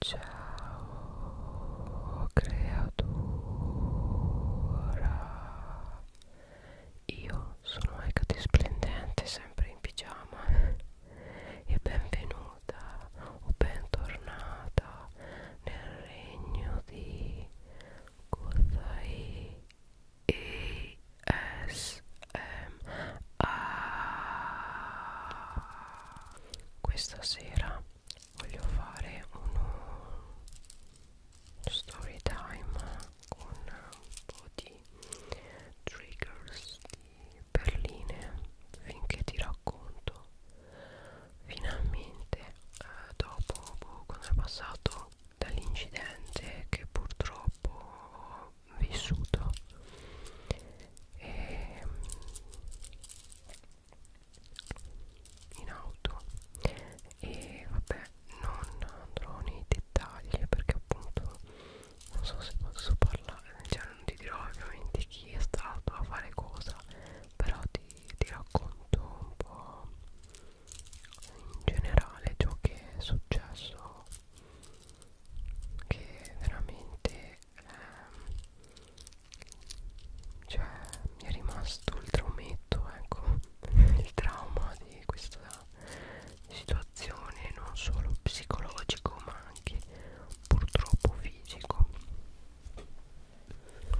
Ciao creatura Io sono Ecati Splendente sempre in pigiama e benvenuta o bentornata nel regno di Kozai ESMA questa sera voglio fare uno story time con un po' di triggers di perline finché ti racconto finalmente eh, dopo boh, quando è passato dall'incidente che purtroppo ho vissuto e, ehm, in auto e vabbè non andrò nei dettagli perché appunto non so se posso parlare cioè non ti dirò ovviamente chi è stato a fare cosa però ti, ti racconto un po' in generale ciò che è successo che veramente ehm, cioè mi è rimasto il traumetto ecco il trauma di questa situazione non solo psicologico ma anche purtroppo fisico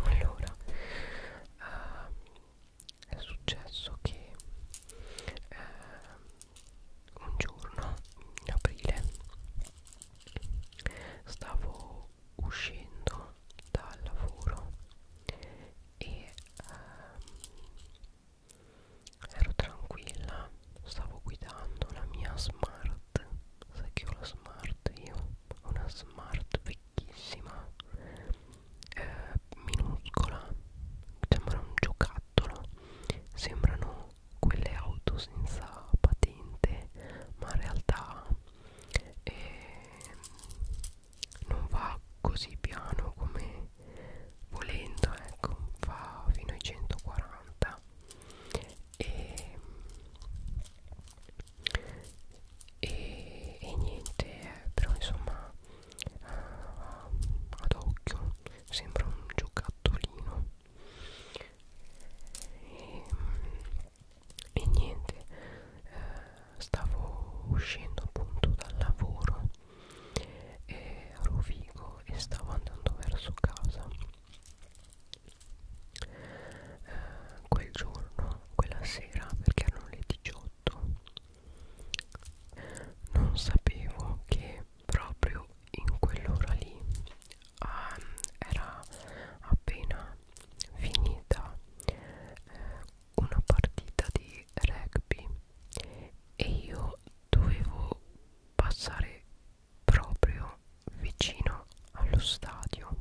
allora eh, è successo che eh, un giorno in aprile stavo uscendo dal lavoro e ehm, ero tranquilla stavo guidando la mia smart sai che ho la smart io ho una smart vecchissima eh, minuscola sembra un giocattolo sembrano quelle auto senza patente ma in realtà eh, non va così piano come volendo ecco va fino ai 140 e, ehm, e, e niente eh, però insomma eh, ad occhio sembra un giocattolino e, e niente eh, stavo uscendo appunto dal lavoro eh, a Rovigo e stavo andando verso casa eh, quel giorno quella sera perché erano le 18 non sapevo che proprio in quell'ora lì ah, era appena finita eh, una partita di rugby e io dovevo passare proprio vicino allo stadio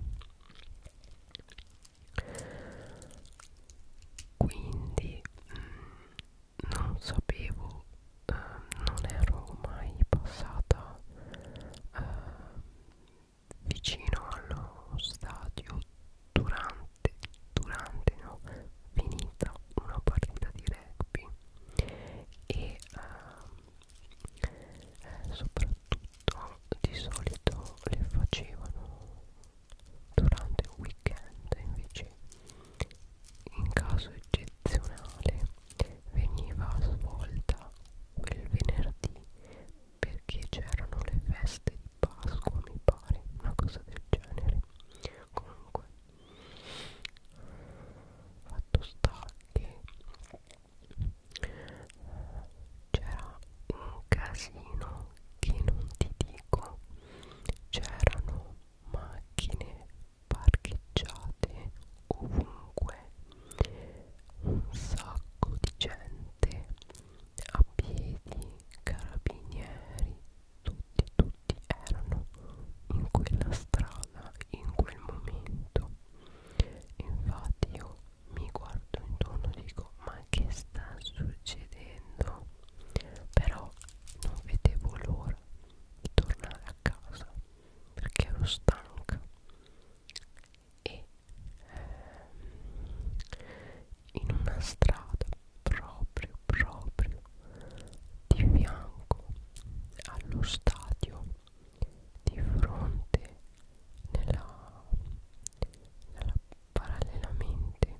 quindi mh, mm, non sapevo eh, non ero mai passata eh, vicino allo stadio durante, durante no, finita una partita di rugby e ehm, eh, soprattutto di solito le facevano durante un weekend invece in caso eccezionale veniva svolta quel venerdì perché c'erano le feste di Pasqua mi pare una cosa del genere comunque fatto sta che eh, c'era un casino che non ti dico c'erano macchine parcheggiate ovunque un sacco di gente a piedi, carabinieri, tutti, tutti erano in quella strada in quel momento. Infatti io mi guardo intorno e dico ma che sta succedendo? Però non vedevo l'ora di tornare a casa perché ero stanca e ehm, in una strada proprio proprio di fianco allo stadio di fronte nella, nella parallelamente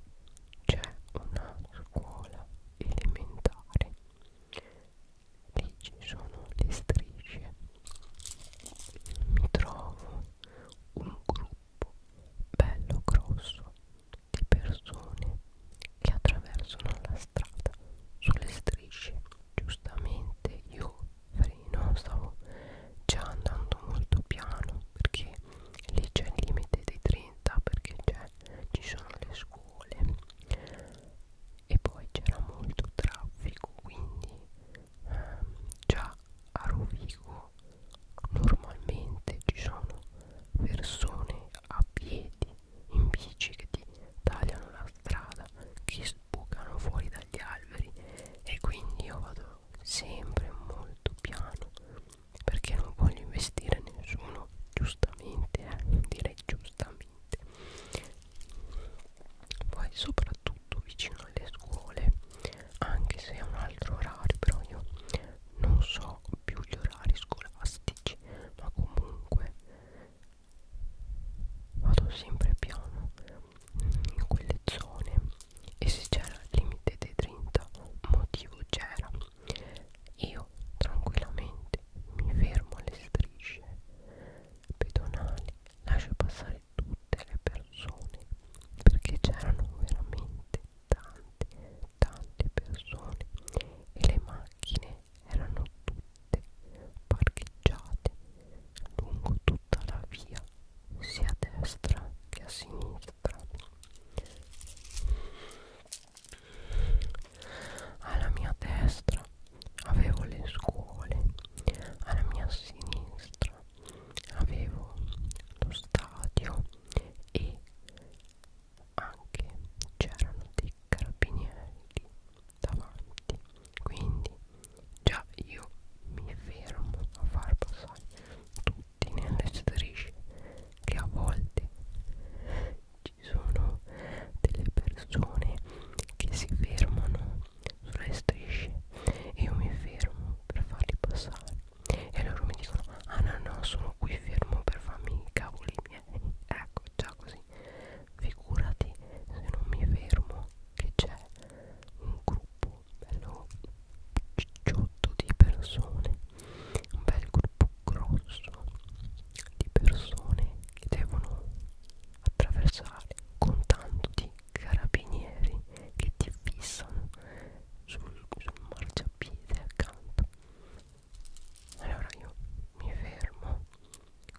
c'è una scuola elementare e ci sono le strisce mi trovo un gruppo bello grosso di persone che attraversano la strada sulle strisce giustamente io freno stavo già andando molto piano perché lì c'è il limite dei 30 perché ci sono le scuole e poi c'era molto traffico quindi ehm, già a Rovigo normalmente ci sono persone a piedi in bici che ti tagliano la strada che sbucano fuori dagli alberi e quindi io vado sempre molto piano perché non voglio investire nessuno giustamente eh, direi giustamente assolutamente poi soprattutto vicino alle scuole anche se è un altro orario però io non so più gli orari scolastici ma comunque vado sempre piano in quelle zone e se c'era il limite dei 30 motivo c'era io tranquillamente mi fermo alle strisce pedonali lascia passare tutte le persone perché c'erano veramente tante tante persone e le macchine erano tutte parcheggiate lungo tutta la via sia a destra che a sinistra alla mia destra avevo le scuole alla mia sinistra avevo lo stadio e anche c'erano dei carabinieri davanti quindi già io mi fermo a far passare tutti nelle strisce che a volte ci sono sono delle persone che si fermano sulle strisce e io mi fermo per farli passare e loro mi dicono ah no no sono qui fermo per farmi i cavoli miei ecco già così figurati se non mi fermo che c'è un gruppo bello cicciotto di persone un bel gruppo grosso di persone che devono attraversare con tanto di carabinieri che ti fissano sul, sul marciapiede accanto allora io mi fermo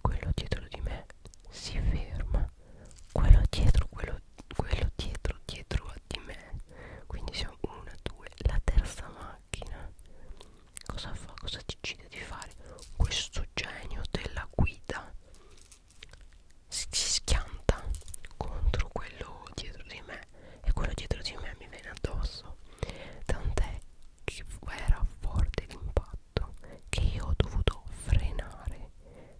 quello dietro di me si ferma quello dietro quello, quello dietro dietro di me quindi siamo una due la terza macchina cosa fa cosa ti decide di fare questo genio della guida si, si schianta contro quello dietro di me e quello dietro di me mi viene addosso tant'è che era forte l'impatto che io ho dovuto frenare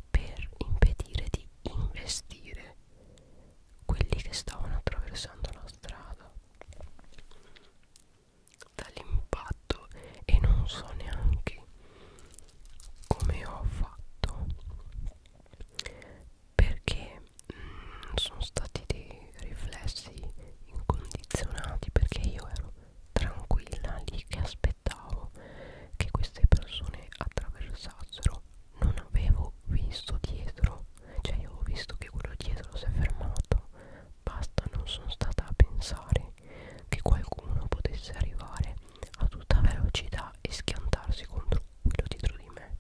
per impedire di investire quelli che stavano attraversando la strada dall'impatto e non so neanche come ho fatto perché mh, mm, sono stati dei riflessi incondizionati perché io ero tranquilla lì che aspettavo che queste persone attraversassero non avevo visto dietro cioè io ho visto che quello dietro si è fermato basta non sono stata a pensare che qualcuno potesse arrivare a tutta velocità e schiantarsi contro quello dietro di me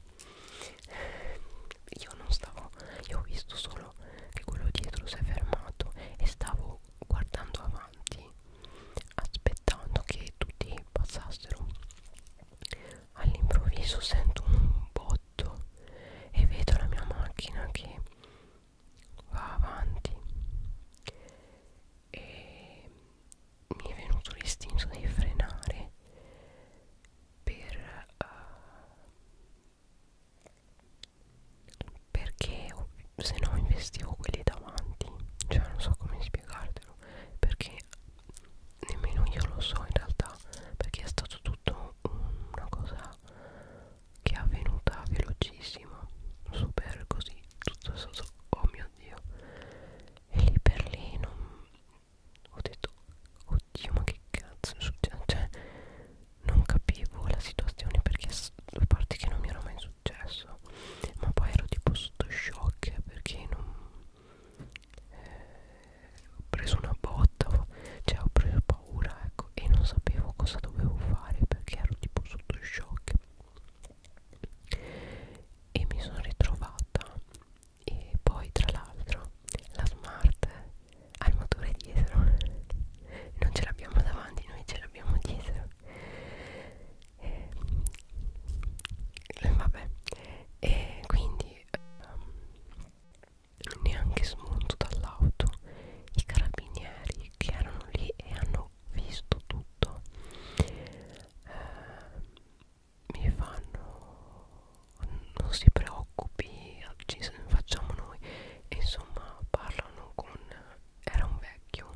io non stavo io ho visto solo che quello dietro si è fermato e stavo guardando avanti aspettando che tutti passassero all'improvviso sento un botto e vedo la mia macchina che va avanti e mi è venuto l'istinto di frenare per uh, perché se no investivo quelli davanti cioè non so come spiegartelo perché nemmeno io lo so in realtà perché è stato tutto una cosa che è avvenuta velocissima super così tutto sotto oh mio dio e lì per lì non ho detto oddio ma che cazzo è successo cioè non capivo la situazione perché a parte che non mi era mai successo ma poi ero tipo sotto shock perché non eh, ho preso una botta cioè ho preso paura ecco e non sapevo cosa dovevo fare perché ero tipo sotto shock e mi sono ritrovata e poi tra l'altro la smart ha il motore dietro non ce l'abbiamo davanti noi ce l'abbiamo dietro e, eh, vabbè e quindi um, neanche smonto dall'auto i carabinieri che erano lì e hanno visto tutto eh, mi fanno non si preoccupi ci facciamo noi e insomma parlano con era un vecchio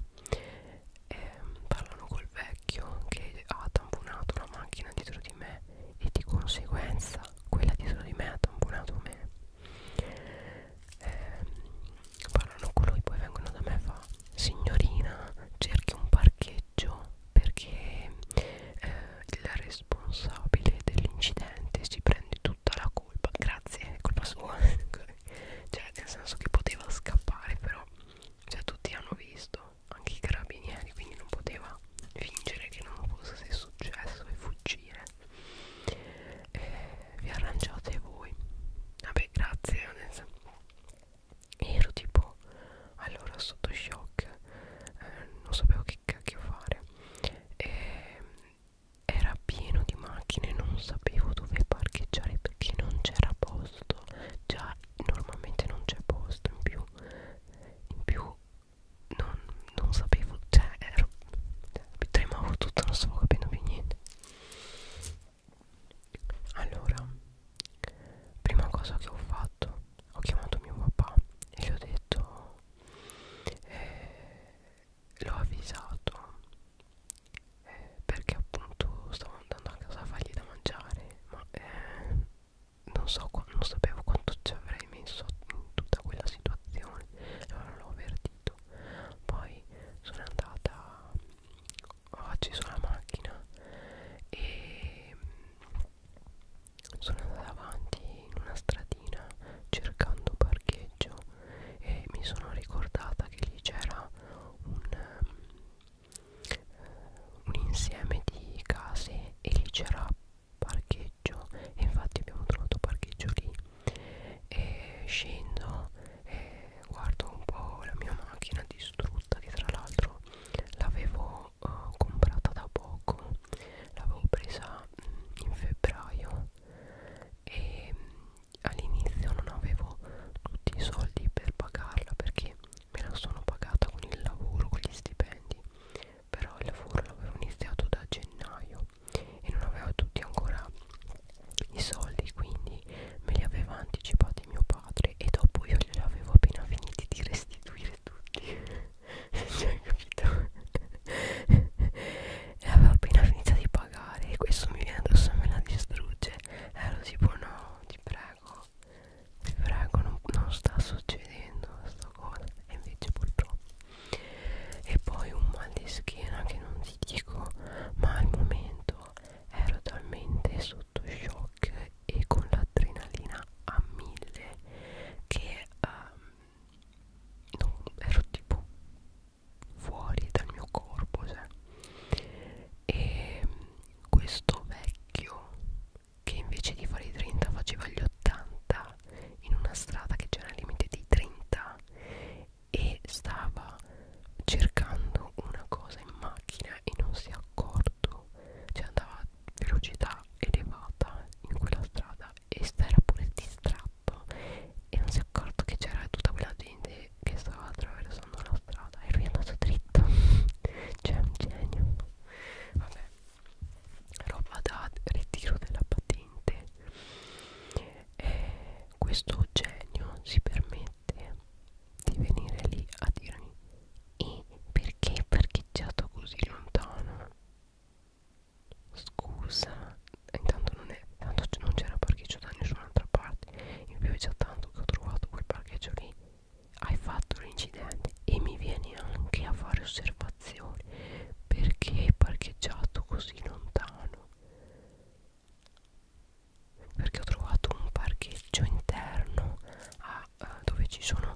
eh, parlano col vecchio che ha tamponato una macchina dietro di me e di conseguenza quella dietro di me ha tamponato me eh, parlano con lui poi vengono da me e fa signorina cerchi un parcheggio perché eh, il responsabile dell'incidente si prende tutta la colpa grazie è colpa sua cioè nel senso che poteva scappare però cioè tutti hanno visto anche i carabinieri quindi non poteva fingere che non fosse successo e fuggire eh, vi arrangiate voi vabbè grazie adesso. ero tipo allora sotto shock eh, non sapevo che cacchio fare eh, era pieno di macchine non sapevo dove parcheggiare perché non c'era posto già normalmente non c'è posto in più in più non, non sapevo, cioè ero tremavo tutto non stavo capendo più niente allora prima cosa che ho fatto ho chiamato mio papà e gli ho detto eh, l'ho avvisato eh, perché appunto stavo andando a casa a fargli da mangiare ma eh, non so non sapevo quanto ci avrei messo in tutta quella situazione allora l'ho avvertito partito poi sono andata ho acceso la macchina e mm, sono andata avanti in una stradina cercando parcheggio e mi sono ricordata che lì c'era un, mm, un insieme di case e lì c'era parcheggio e infatti abbiamo trovato parcheggio lì e scendo e guardo un po' la mia macchina distrutta che tra l'altro l'avevo uh, comprata da poco l'avevo presa mh, mm, in febbraio e mm, all'inizio non avevo tutti i soldi per pagarla perché me la sono pagata con il lavoro, con gli stipendi però il lavoro l'avevo iniziato da gennaio e non avevo tutti ancora i soldi quindi me li aveva anticipati mio padre e dopo io li avevo appena finiti di restituire tutti cioè capito e avevo appena finito di pagare e questo mi viene addosso e me la distrugge eh, ero tipo no ti prego ti prego non, non sta succedendo sta cosa e invece purtroppo e poi un mal di schiena che non ti dico ma al momento ero talmente sotto shock e con l'adrenalina a mille che um, ehm, non, ero tipo fuori dal mio corpo cioè. e questo vecchio che invece di fare i 30 faceva gli 80 in una strada che c'era il limite dei 30 e stava cercando una cosa in macchina e non si è accorto cioè andava a velocità elevata in quella strada e era pure distratto e non si è accorto che c'era tutta quella gente che stava attraversando la strada e lui è andato dritto cioè un genio vabbè roba da ritiro della patente eh, questo genio si permette di venire lì a dirmi e perché è parcheggiato così lontano scusa intanto non è tanto non c'era parcheggio da nessun'altra parte in più è già tanto che ho trovato quel parcheggio lì hai fatto l'incidente e mi vieni anche a fare osservazioni perché è parcheggiato così lontano perché ho trovato un parcheggio interno a, a eh, dove ci sono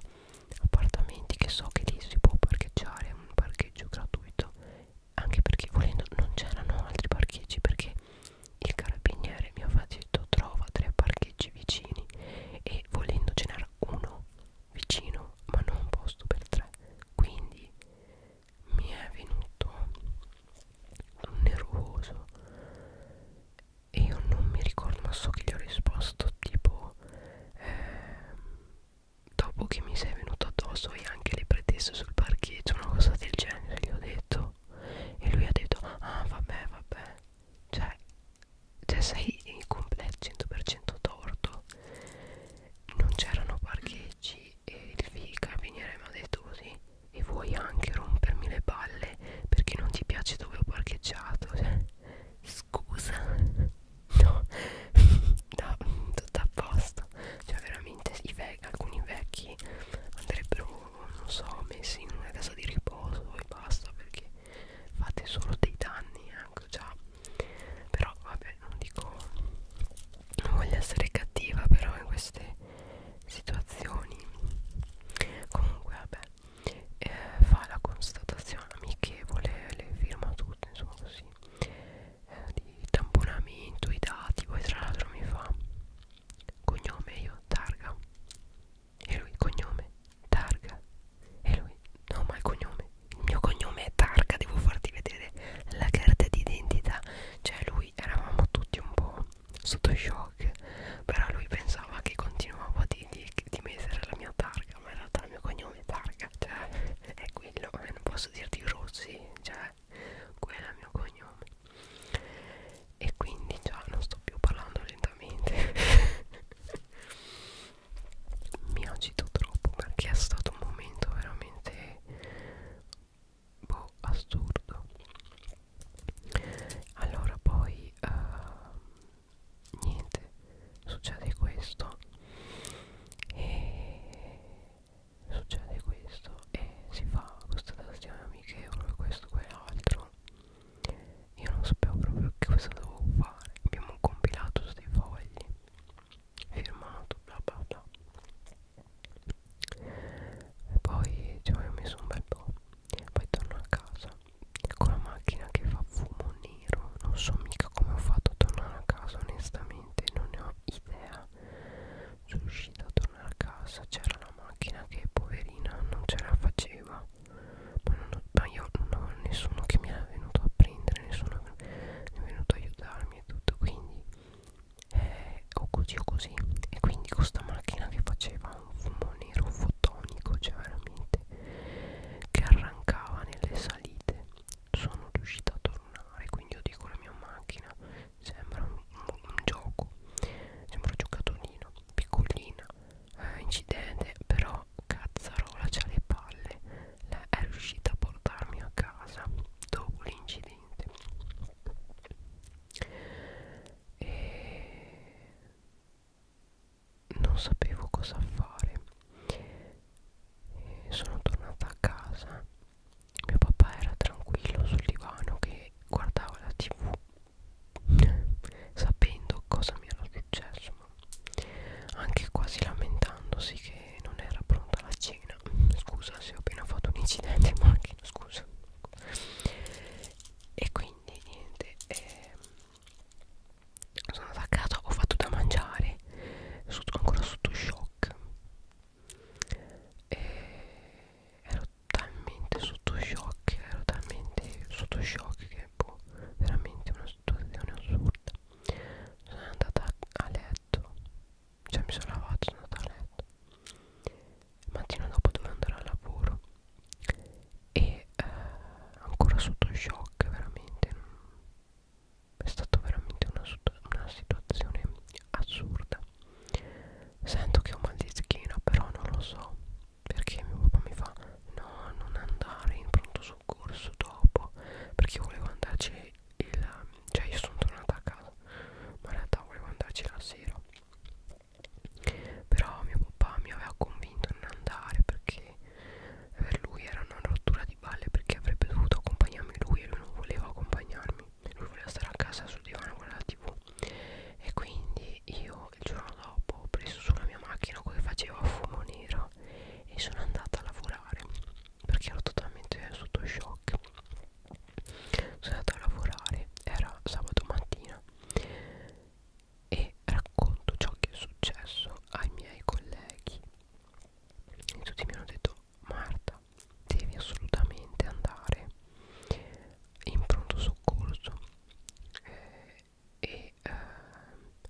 appartamenti che so che lì si può parcheggiare, è un parcheggio gratuito, anche perché volendo non c'erano altri parcheggi perché il carabiniere mi aveva detto trova tre parcheggi vicini e volendo ce n'era uno vicino ma non posto per tre quindi mi è venuto un nervoso e io non mi ricordo ma so che gli ho risposto tipo eh, dopo che mi sei venuto addosso e anche le pretese sul parcheggio una cosa del genere gli ho detto e lui ha detto ah vabbè vabbè cioè, cioè sei in completo 100% torto non c'erano parcheggi e, e il carabiniere mi ha detto così e vuoi anche rompermi le palle perché non ti piace dove ho parcheggiato cioè, scusa no, no tutto a posto cioè veramente i ve alcuni vecchi andrebbero non so messi in una casa di riposo e basta perché fate solo dei danni ecco già però vabbè vabbè non dico non voglio essere cattiva però in queste situazioni comunque vabbè eh, fa la constatazione amichevole le firma tutte insomma così eh, di tamponamento i dati poi tra l'altro mi fa cognome io targa e lui cognome targa e lui no ma il cognome il mio cognome è targa devo farti vedere la carta d'identità cioè lui eravamo tutti un po' sotto shock però lui pensava che continuavo a dirgli di mettere la mia targa ma in realtà il mio cognome è targa cioè è quello eh, non posso dirti Rossi cioè quello è il mio cognome e quindi già non sto più parlando lentamente mi agito troppo perché è stato un momento veramente boh, assurdo allora poi uh, niente succede questo e succede questo e si fa questa tastione amichevole questo quell'altro io non sapevo proprio che cosa dovevo fare abbiamo compilato questi fogli firmato bla bla bla e poi ci avevo messo un bel po' poi torno a casa con la macchina che fa fumo nero non so mica come ho fatto a tornare a casa onestamente non ne ho idea sono riuscita a tornare a casa c'era la macchina che poverina non ce la faceva ma, non ho, ma io non avevo nessuno che mi era venuto a prendere nessuno è venuto a aiutarmi e tutto quindi eh, o così o così e quindi questa macchina che faceva un fumo nero fotonico cioè veramente che arrancava nelle salite sono riuscita a tornare quindi io dico la mia macchina sembra un, un, un gioco sembra un giocatorino piccolina eh, incidente però cazzarola c'ha le palle la, è riuscita a portarmi a casa dopo l'incidente veramente e non sapevo cosa fare e sono tornata a casa mio papà era tranquillo sul divano che guardava la tv sapendo cosa mi era successo ma anche quasi lamentandosi che che non era pronta la cena scusa se ho appena fatto un incidente in macchina scusa e quindi niente eh, sono andata a casa ho fatto da mangiare sotto, ancora sotto shock e ero talmente sotto shock ero talmente sotto shock che boh, veramente una situazione assurda sono andata a letto cioè mi sono lavato sono andata a letto il mattino dopo dovevo andare al lavoro e eh, ancora sotto shock veramente mm, è stata veramente una, una situazione assurda sento che ho mal di schiena però non lo so perché mio papà mi fa no non andare in pronto soccorso dopo perché volevo andarci il, cioè io sono tornata a casa ma in realtà volevo andarci la sera però mio papà mi aveva convinto a non andare perché per lui era una rottura di balle perché avrebbe dovuto accompagnarmi lui e lui non voleva accompagnarmi lui voleva stare a casa sul divano con la tv e quindi io il giorno dopo ho preso sulla mia macchina quello che faceva fumo nero e sono andata a lavorare perché ero totalmente sotto shock sono andata a lavorare era sabato mattina e racconto ciò che è successo ai miei colleghi e tutti mi hanno detto Marta devi assolutamente andare in pronto soccorso eh, e eh,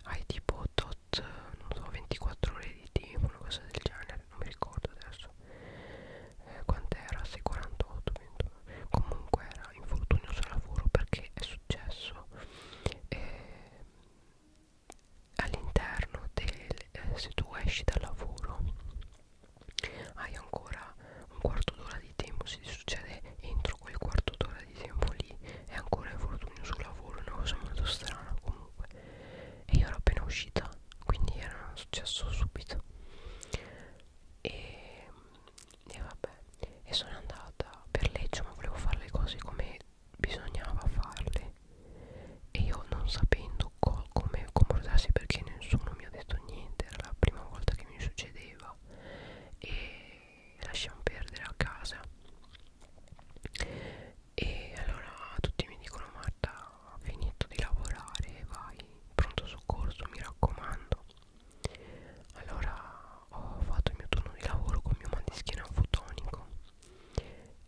hai tipo tot non so 24 ore di tempo una cosa del genere magari non mi ricordo adesso eh, quant'era se 48 29. comunque era infortunio sul lavoro perché è successo eh, all'interno del eh, se tu esci dal lavoro hai ancora un quarto d'ora di tempo se ti succede entro quel quarto d'ora di tempo lì è ancora infortunio sul lavoro una cosa molto strana comunque e io ero appena uscita quindi era successo subito e, e vabbè e sono andata per legge ma volevo fare le cose come bisognava farle e io non sapendo co come comportarsi perché nessuno mi ha detto niente era la prima volta che mi succedeva e lasciamo perdere a casa e allora tutti mi dicono Marta appena finito di lavorare vai pronto soccorso mi raccomando allora ho fatto il mio turno di lavoro con il mio mandischino fotonico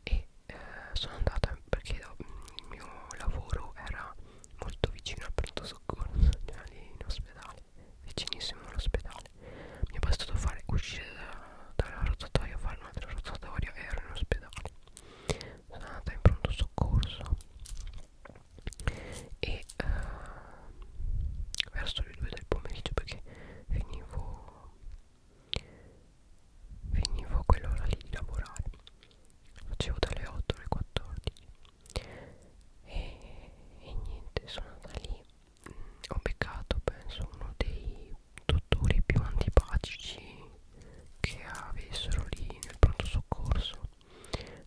e eh, sono andata perché il mio lavoro era molto vicino al pronto soccorso cioè lì in ospedale vicinissimo all'ospedale mi è bastato fare uscire da, dalla rotatoia fare un'altra rotatoria e ero in ospedale sono andata in pronto soccorso e uh, verso le 2 del pomeriggio perché finivo finivo a quell'ora lì di lavorare facevo dalle 8 alle 14 e, e niente sono andata lì ho beccato penso uno dei dottori più antipatici che avessero lì nel pronto soccorso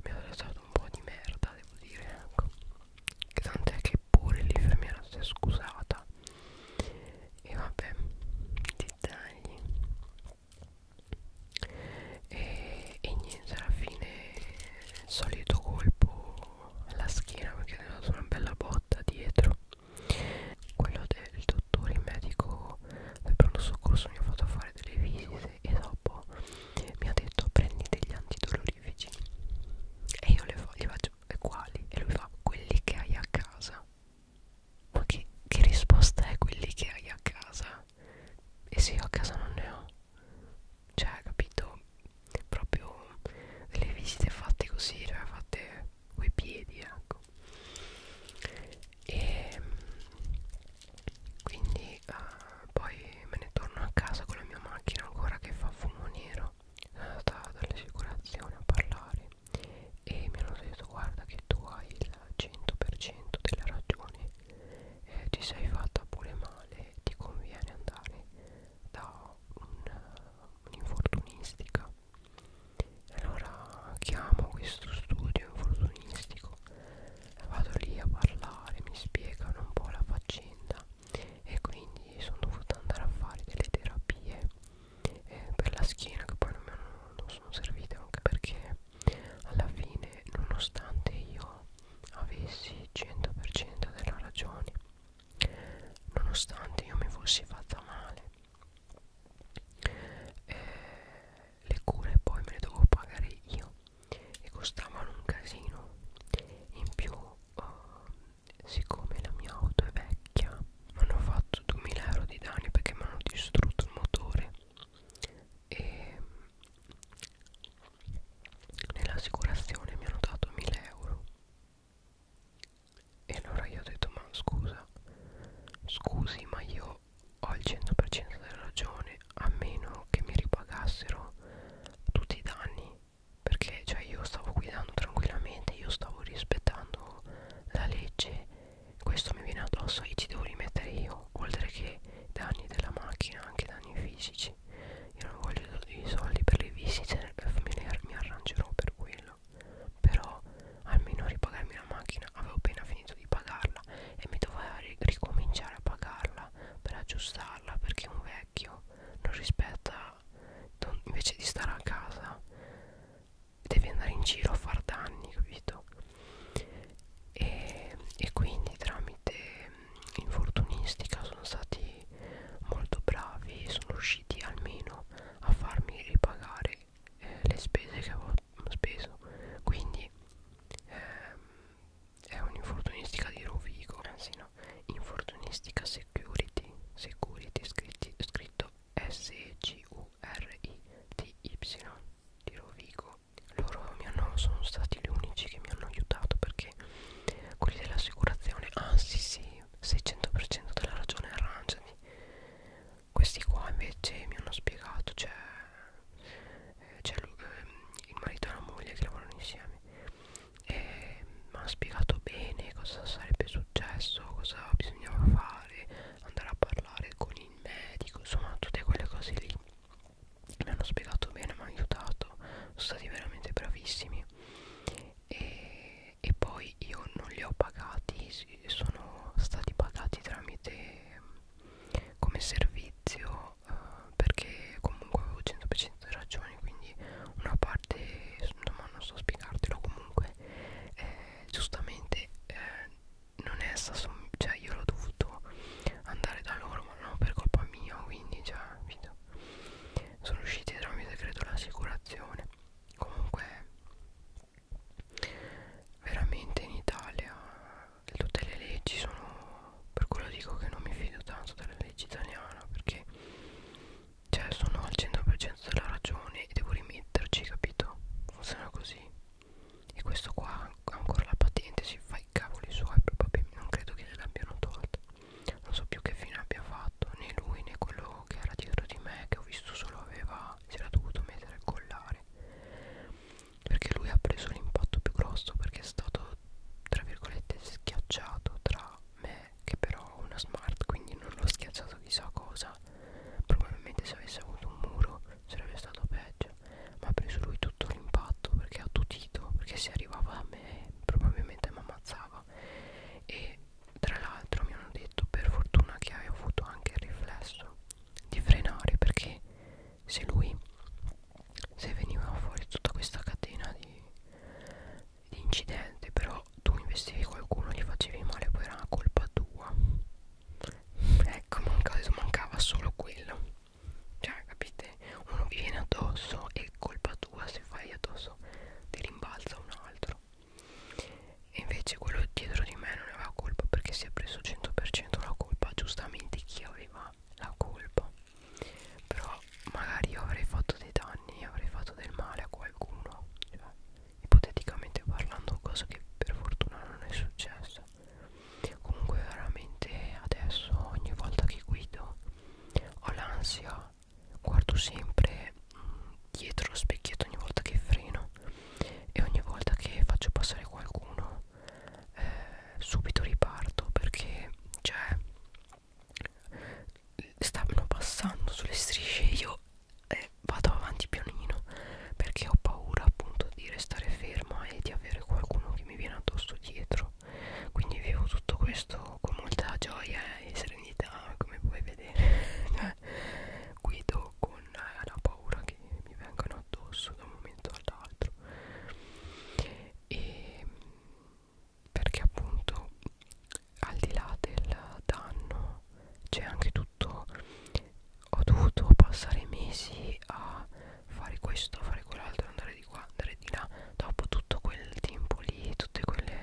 mi ha lasciato un po' di merda devo dire ecco tant'è che pure l'infermiera si è scusata e vabbè dettagli e, e niente alla fine il solito colpo alla schiena perché ne ho dato una bella botta dietro quello del dottore medico del pronto soccorso mi ha fatto fare delle visite e dopo mi ha detto prendi degli antidolorifici e io le fa, gli faccio e quali? e lui fa quelli che hai a casa ma che, che risposta è quelli che hai a casa? e se io a casa non ne ho cioè capito proprio delle visite fatte così cioè fatte coi piedi ecco e quindi uh, poi me ne torno a casa con la mia macchina ancora che fa fumo nero sono andata dall'assicurazione a parlare e mi hanno detto guarda che tu hai il 100% della ragione eh, ti sei fatta pure male ti conviene andare da eh, un'infortunistica allora chiamo questo studio infortunistico vado lì a parlare mi spiegano un po' la faccenda e quindi sono dovuta andare a fare delle terapie eh, per la schiena che poi non, hanno, non sono servite anche perché alla fine nonostante io avessi 100% della ragione nonostante io mi fossi fatta male eh, le cure poi me le dovevo pagare io e costavano un casino in più uh, siccome la mia auto è vecchia mi hanno fatto 2000 euro di danni perché mi hanno distrutto il motore e mm, nell'assicurazione mi hanno dato 1000 euro e allora io ho detto ma scusa scusi ma io ho il 100% della ragione a meno che mi ripagassero tutti i danni perché cioè io stavo guidando tranquillamente io stavo rispettando la legge questo mi viene addosso e ci devo rimettere io oltre che danni della macchina anche danni fisici io non voglio i soldi per le visite eh, mi arrangerò per quello però almeno ripagarmi la macchina avevo appena finito di pagarla e mi doveva ricominciare a pagarla per aggiustarla perché un vecchio non rispetta non, invece di stare a casa devi andare in giro a far danni capito e, e quindi tramite mm, infortunistica sono stati molto bravi sono riusciti almeno a farmi ripagare eh, le spese che avevo speso quindi ehm, è un'infortunistica di Rovigo anzi eh, no infortunistica security security scritti, scritto s e c u r i t y di Rovigo loro mi hanno, sono stati gli unici che mi hanno aiutato perché quelli dell'assicurazione ah sì sì 600% della ragione arrangiati questi qua invece mi hanno spiegato cioè, eh, c'è cioè, il marito e la moglie che lavorano insieme e mi hanno spiegato bene cosa sarebbe successo cosa bisognava fare andare a parlare con il medico insomma tutte quelle cose lì mi hanno spiegato bene mi hanno aiutato sono stati veramente bravissimi e, e poi io non li ho pagati sono stati pagati tramite come servizio eh, perché comunque avevo 100% ragione quindi una parte insomma non so spiegartelo comunque eh, giustamente eh, non è sta cioè io l'ho dovuto andare da loro ma non per colpa mia quindi già cioè, vita. sono usciti tramite credo l'assicurazione comunque veramente in Italia tutte le leggi sono per quello dico che non mi fido tanto della legge italiana perché cioè sono al 100% della ragione e devo rimetterci capito funziona così e questo qua ha ancora la patente si fa i cavoli suoi proprio non credo che gliel'abbiano tolta non so più che fine abbia fatto né lui né quello che era dietro di me che ho visto solo aveva si era dovuto mettere il collare perché lui ha preso l'impatto più grosso perché è stato tra virgolette schiacciato tra me che però ho una smart quindi non l'ho schiacciato chissà cosa probabilmente se avesse avuto un muro sarebbe stato peggio ma ha preso lui tutto l'impatto perché ha tutito perché se arrivava a me probabilmente mi ammazzava e tra l'altro mi hanno detto per fortuna che hai avuto anche il riflesso di frenare perché se lui se veniva fuori tutta questa catena di, di incidenti però tu investivi qualcuno gli facevi male poi era una colpa tua ecco mancava, mancava solo quello cioè capite uno vi viene addosso e colpa tua se fai addosso ti rimbalza un altro e invece quello dietro di me non aveva colpa perché si è preso 100% la colpa, giustamente chi aveva la colpa. Però magari io avrei fatto dei danni, avrei fatto del male a qualcuno, cioè, ipoteticamente parlando, cosa che per fortuna non è successa. Comunque veramente adesso ogni volta che guido ho l'ansia, guardo sempre mh, mm, dietro lo specchietto ogni volta che freno e ogni volta che faccio passare qualcuno eh, subito riparto perché cioè stavano passando sulle strisce io eh, vado avanti pianino perché ho paura appunto di restare ferma e di avere qualcuno che mi viene addosso dietro quindi vivo tutto questo con molta gioia e serenità come puoi vedere cioè, guido con eh, la paura che mi vengano addosso da un momento all'altro e perché appunto al di là del danno c'è anche tutto ho dovuto passare mesi a fare questo a fare quell'altro andare di qua andare di là dopo tutto quel tempo lì tutte quelle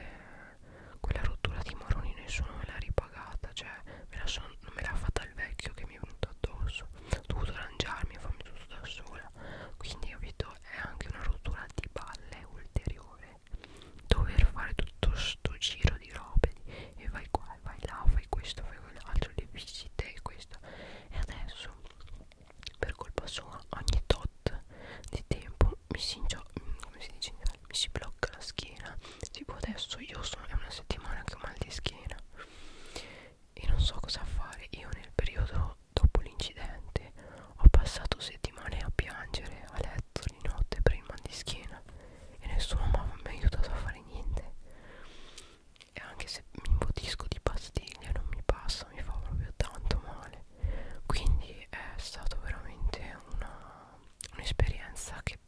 quella rottura di maroni nessuno me la ripagava pagata cioè me la son, non me l'ha fatta il vecchio che mi è venuto addosso ho dovuto arrangiarmi e farmi tutto da sola quindi capito è anche una rottura di balle ulteriore dover fare tutto sto giro di robe e vai qua e vai là fai questo fai quell'altro le visite e questo e adesso per colpa sua ogni tot di tempo mi si, mi mm, si dice mi si blocca la schiena tipo adesso io sono è una settimana che ho mal di schiena e non so cosa fare io nel periodo dopo l'incidente ho passato settimane a piangere a letto di notte per il mal di schiena e nessuno mi ha aiutato a fare niente e anche se mi imbotisco di pastiglie non mi passa mi fa proprio tanto male quindi è stato veramente un'esperienza un che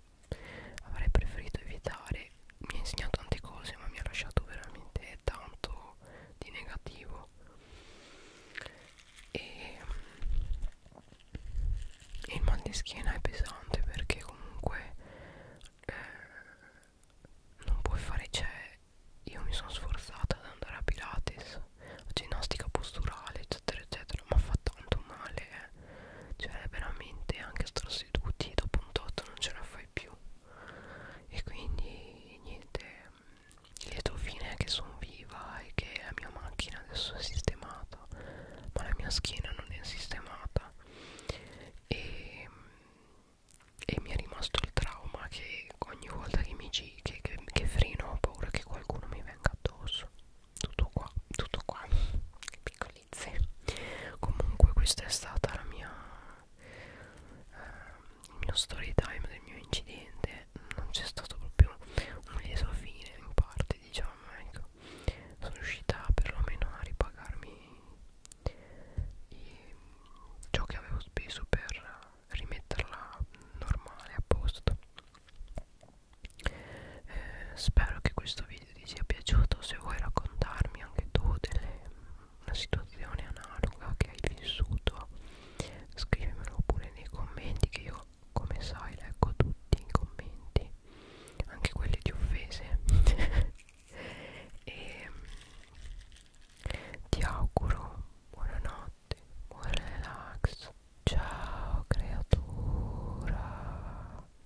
avrei preferito evitare mi ha insegnato tante cose ma mi ha lasciato veramente tanto di negativo e, e il mal di schiena è pesante perché comunque eh, non puoi fare cioè io mi sono sforzata ad andare a Pilates a ginnastica posturale eccetera eccetera ma fa tanto male è eh cioè veramente anche star seduti dopo un tot non ce la fai più e quindi niente lieto fine è che sono viva e che la mia macchina adesso è sistemata ma la mia schiena non è sistemata e, e mi è rimasto il trauma che ogni volta che mi gi che, che, che freno ho paura che qualcuno mi venga addosso tutto qua tutto qua piccolo natalizie comunque questa è stata la mia eh, il mio story time del mio incidente non c'è stato proprio un viso fine in parte diciamo ecco sono riuscita perlomeno a ripagarmi i, ciò che avevo speso per rimetterla normale a posto eh, spero che questo video video ti sia piaciuto se vuoi raccontarmi anche tu delle, una situazione analoga che hai vissuto scrivimelo pure nei commenti che io come sai leggo tutti i commenti anche quelli di offese e ti auguro buonanotte buon relax ciao creatura